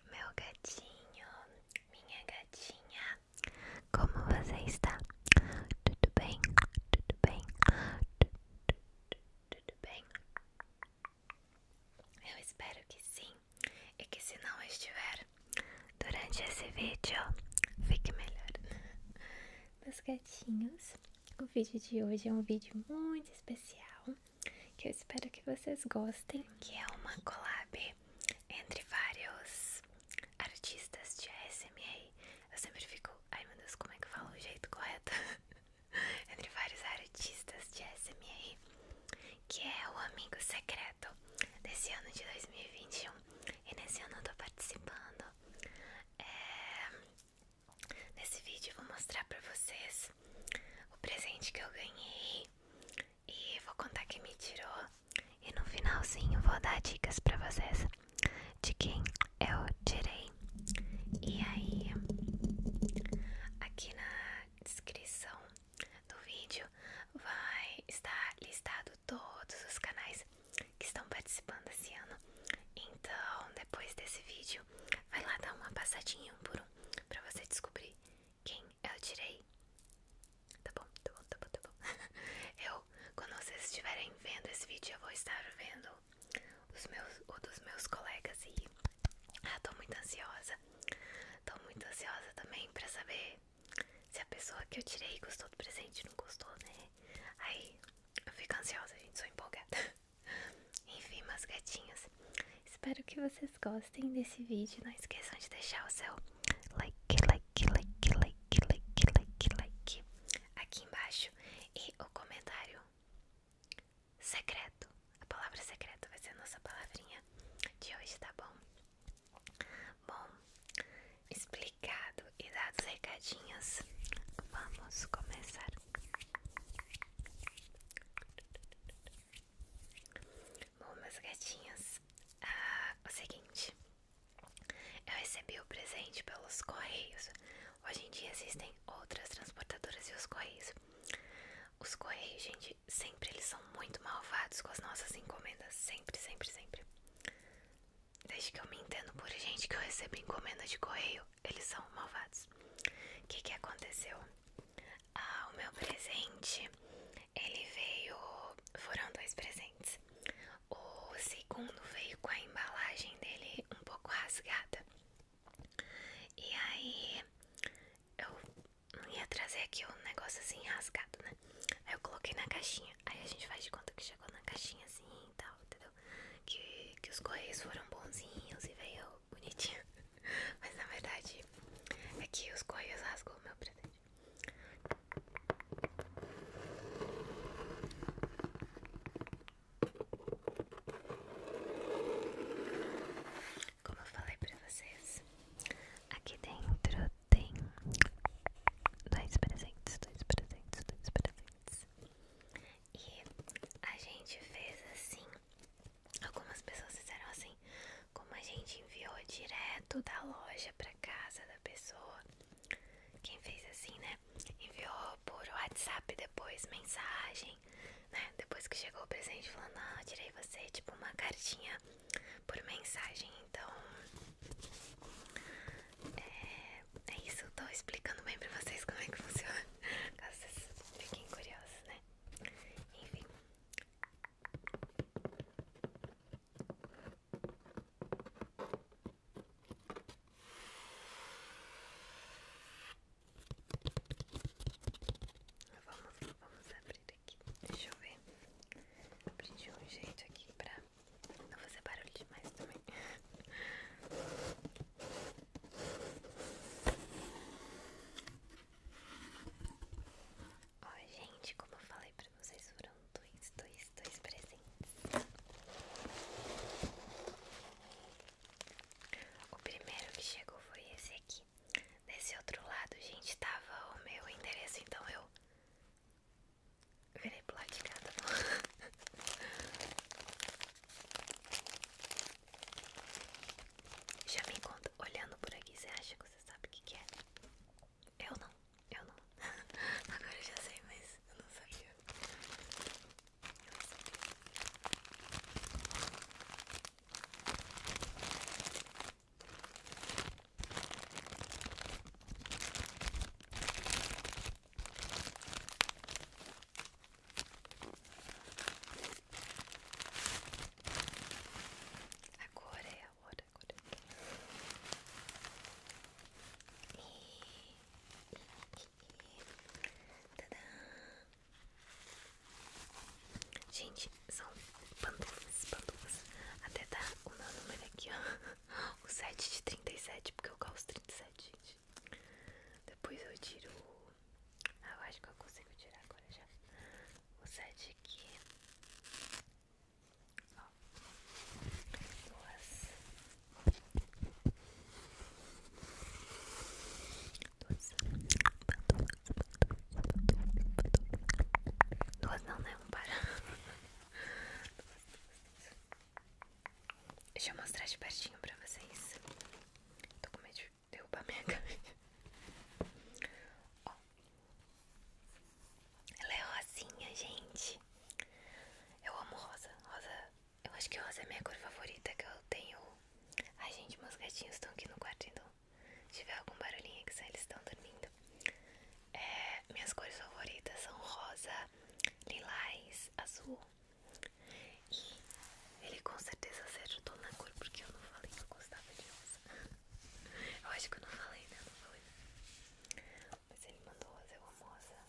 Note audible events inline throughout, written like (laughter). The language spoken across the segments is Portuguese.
Olá, meu gatinho, minha gatinha, como você está? Tudo bem? Tudo bem? Tudo, tudo, bem? Eu espero que sim e que se não estiver durante esse vídeo, fique melhor meus gatinhos. O vídeo de hoje é um vídeo muito especial que eu espero que vocês gostem, que é uma collab entre vários artistas de SMA. Eu sempre fico, ai meu Deus, como é que eu falo o jeito correto? (laughs) entre vários artistas de SMA, que é o amigo secreto desse ano de 2021. E nesse ano eu tô participando é, nesse vídeo eu vou mostrar pra vocês o presente que eu ganhei e vou contar quem me tirou e no finalzinho vou dar dicas pra vocês de quem eu tirei. E aí, aqui na descrição do vídeo vai estar listado todos os canais que estão participando esse ano. Então, depois desse vídeo, vai lá dar uma passadinha um por um pra você descobrir quem eu tirei. Tá bom, tá bom, tá bom, tá bom. (laughs) Eu, quando vocês estiverem vendo esse vídeo, eu vou estar vendo os meus, o dos meus colegas e. Ah, tô muito ansiosa. Tô muito ansiosa também pra saber se a pessoa que eu tirei gostou do presente, não gostou, né? Aí eu fico ansiosa, gente, sou empolgada. (laughs) Enfim, meus gatinhos, espero que vocês gostem desse vídeo. Não esqueçam de deixar o seu like, like, like, like, like, like, like aqui embaixo e o comentário secreto. A palavra secreta vai ser a nossa palavrinha de hoje, tá bom? Bom, explicado e dados recadinhos, vamos começar. Bom, meus gatinhos, ah, o seguinte, eu recebi o presente pelos correios. Hoje em dia existem outras transportadoras e os correios. Os correios, gente, sempre eles são muito malvados com as nossas encomendas. Sempre, sempre, sempre. Desde que eu me entendo por gente que eu recebo encomenda de correio, eles são malvados. O que, aconteceu? Ah, o meu presente, ele veio. Foram dois presentes. O segundo veio com a embalagem dele um pouco rasgada. E aí eu ia trazer aqui um negócio assim rasgado, né? Aí eu coloquei na caixinha. Aí a gente faz de conta que chegou na caixinha assim e tal, entendeu? Que, que os correios foram bonzinhos e veio bonitinho. (laughs) Mas na verdade é que os correios rasgou meu presente. Como eu falei pra vocês, aqui dentro tem dois presentes, dois presentes, dois presentes. E a gente fez assim. Algumas pessoas fizeram assim, como a gente enviou direto da loja pra casa da pessoa. Quem fez assim, né? Enviou por WhatsApp depois, mensagem, né? Depois que chegou o presente, falou Não, tirei você, tipo uma cartinha por mensagem. Então, é, é isso. Eu tô explicando bem pra vocês como é que funciona. (laughs) Caso vocês fiquem curiosos, né? Enfim. Vamos, vamos abrir Deixa eu ver. Aprendi um jeito aqui pra não fazer barulho demais também. Ó, gente, como eu falei pra vocês, foram dois, dois, dois presentes. O primeiro que chegou foi esse aqui aqui. Desse outro lado, gente, tava o meu endereço, então eu virei pro lado de cá, tá Já me encontro olhando por aqui, você acha que você sabe o que, que é? Eu não, eu não. (laughs) Agora eu já sei, mas eu não sabia. Eu não sabia. Agora é a hora, agora é a hora. E... E... Tadã! Gente, são pantufas, pantufas. Até tá o meu número aqui, ó. (laughs) O 7 de 37, porque eu gosto 37, gente. Depois eu tiro. Ah, eu acho que eu consigo tirar agora já. O 7 aqui. Ó. Duas. Duas pantufas. Duas não, né? Um para. Deixa eu mostrar de pertinho pra vocês. Tô com medo de derrubar minha (laughs) câmera. Ó. Ela é rosinha, gente. Eu amo rosa. Rosa. Eu acho que rosa é minha cor favorita que eu tenho. a gente, meus gatinhos estão aqui no quarto, então tiver algum barulhinho é que eles estão dormindo. minhas cores favoritas são rosa, lilás, azul. E ele com certeza acertou na cor, porque eu não falei que eu gostava de rosa. (laughs) Eu acho que eu não falei, né? Não falei. Mas ele mandou rosa, eu amo rosa.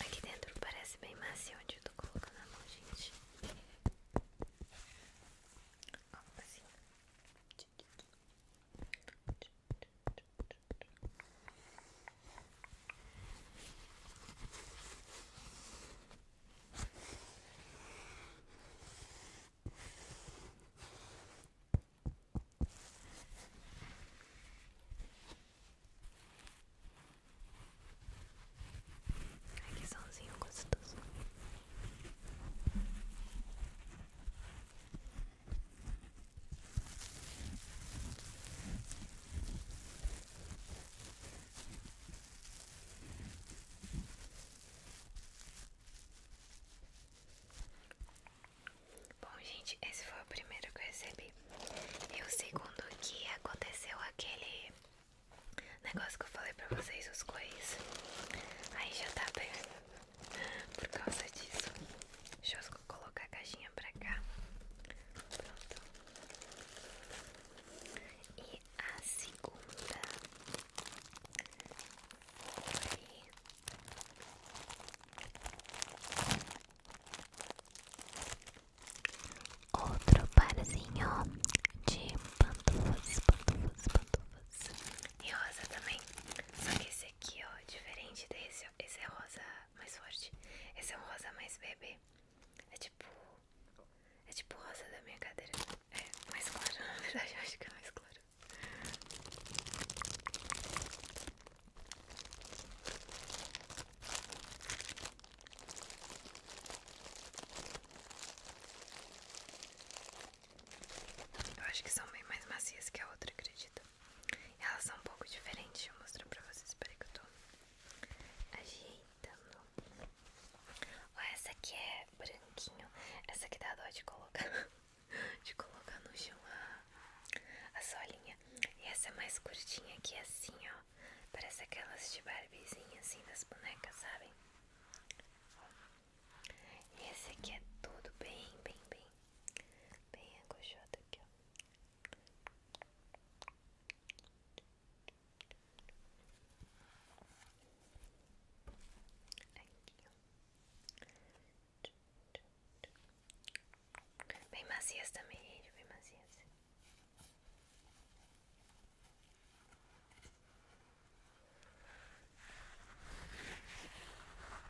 Aqui dentro parece bem macio onde eu tô colocando a mão, gente. Ai, que somzinho gostoso. Bom, gente, esse foi o primeiro que eu recebi. E o segundo que aconteceu aquele negócio que eu falei pra vocês, os cois. Aí já tá pegando (laughs) por causa disso. Deixa eu colocar a caixinha pra cá. Pronto. E a segunda Outro parzinho de pantufas, pantufas, pantufas. E rosa também. Só que esse aqui, ó, diferente desse, ó, esse é rosa mais forte. Esse é um rosa mais bebê. É tipo. É tipo rosa da minha cadeira. É mais claro, (laughs) na verdade, eu acho que é mais claro. Eu acho que são bem mais macias que a outra, acredito. Elas são um pouco diferentes, deixa eu mostrar pra vocês. Espera que eu tô ajeitando. Ó, essa aqui é branquinho. Essa aqui dá dó de colocar, (laughs) de colocar no chão a, solinha. E essa é mais curtinha aqui, assim, ó. Parece aquelas de barbezinha, assim, das bonecas, sabem? E esse aqui é tudo bem, bem, bem bem acolchoado aqui, Aqui, ó. Bem macias também, gente, bem macias.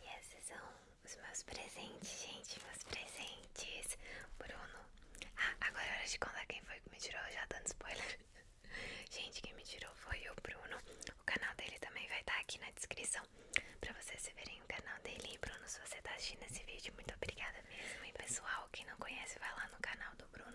E esses são os meus presentes, gente. Meus presentes. Bruno. Ah, agora é hora de contar quem foi que me tirou, já dando spoiler. (laughs) gente, quem me tirou foi o Bruno. O canal dele também vai estar tá aqui na descrição pra vocês verem o canal dele. Bruno, se você tá assistindo esse vídeo, muito obrigada mesmo. E pessoal, quem não conhece, vai lá no canal do Bruno.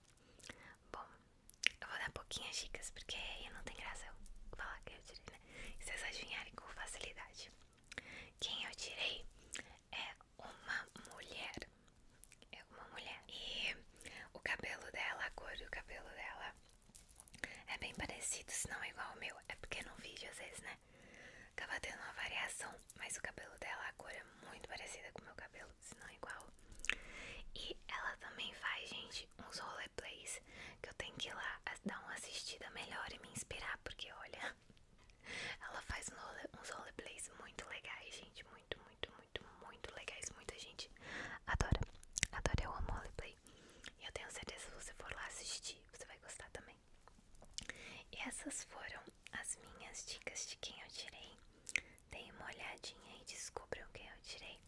Bom, eu vou dar pouquinhas dicas porque não tem graça eu falar quem eu tirei, né? E vocês adivinharem com facilidade. Quem eu tirei é uma mulher. É uma mulher. E o cabelo dela, a cor do cabelo dela é bem parecido, se não é igual ao meu. É porque no vídeo às vezes, né? acaba tendo uma variação, mas o cabelo dela, a cor é muito parecida com o meu cabelo se não é igual. E ela também faz, gente, uns roleplays que eu tenho que ir lá dar uma assistida melhor e me inspirar, porque olha, (laughs) ela faz uns roleplays muito legais, gente, muito, muito, muito, muito legais. Muita gente adora, adora, eu amo roleplay. E eu tenho certeza que se você for lá assistir, você vai gostar também. E essas foram as minhas dicas de quem eu tirei Deem uma olhadinha e descubram o que eu tirei.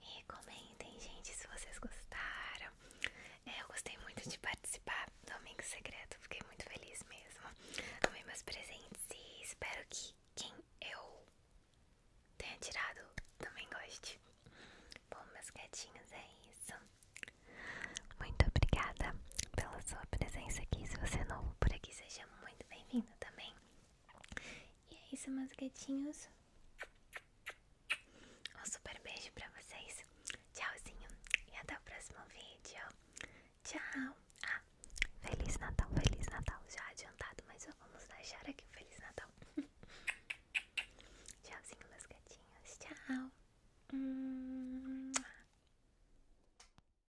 E comentem, gente, se vocês gostaram. É, eu gostei muito de participar do Domingo Secreto, fiquei muito feliz mesmo. Amei meus presentes e espero que quem eu tenha tirado também goste. Bom, meus gatinhos, é isso. Muito obrigada pela sua presença aqui. Se você é novo por aqui, seja muito bem-vindo também. E é isso, meus gatinhos. Um super beijo pra vocês. Tchauzinho. E até o próximo vídeo. Tchau. Ah, Feliz Natal, Feliz Natal. Já adiantado, mas vamos deixar aqui o Feliz Natal. (laughs) Tchauzinho, meus gatinhos. Tchau. Hum.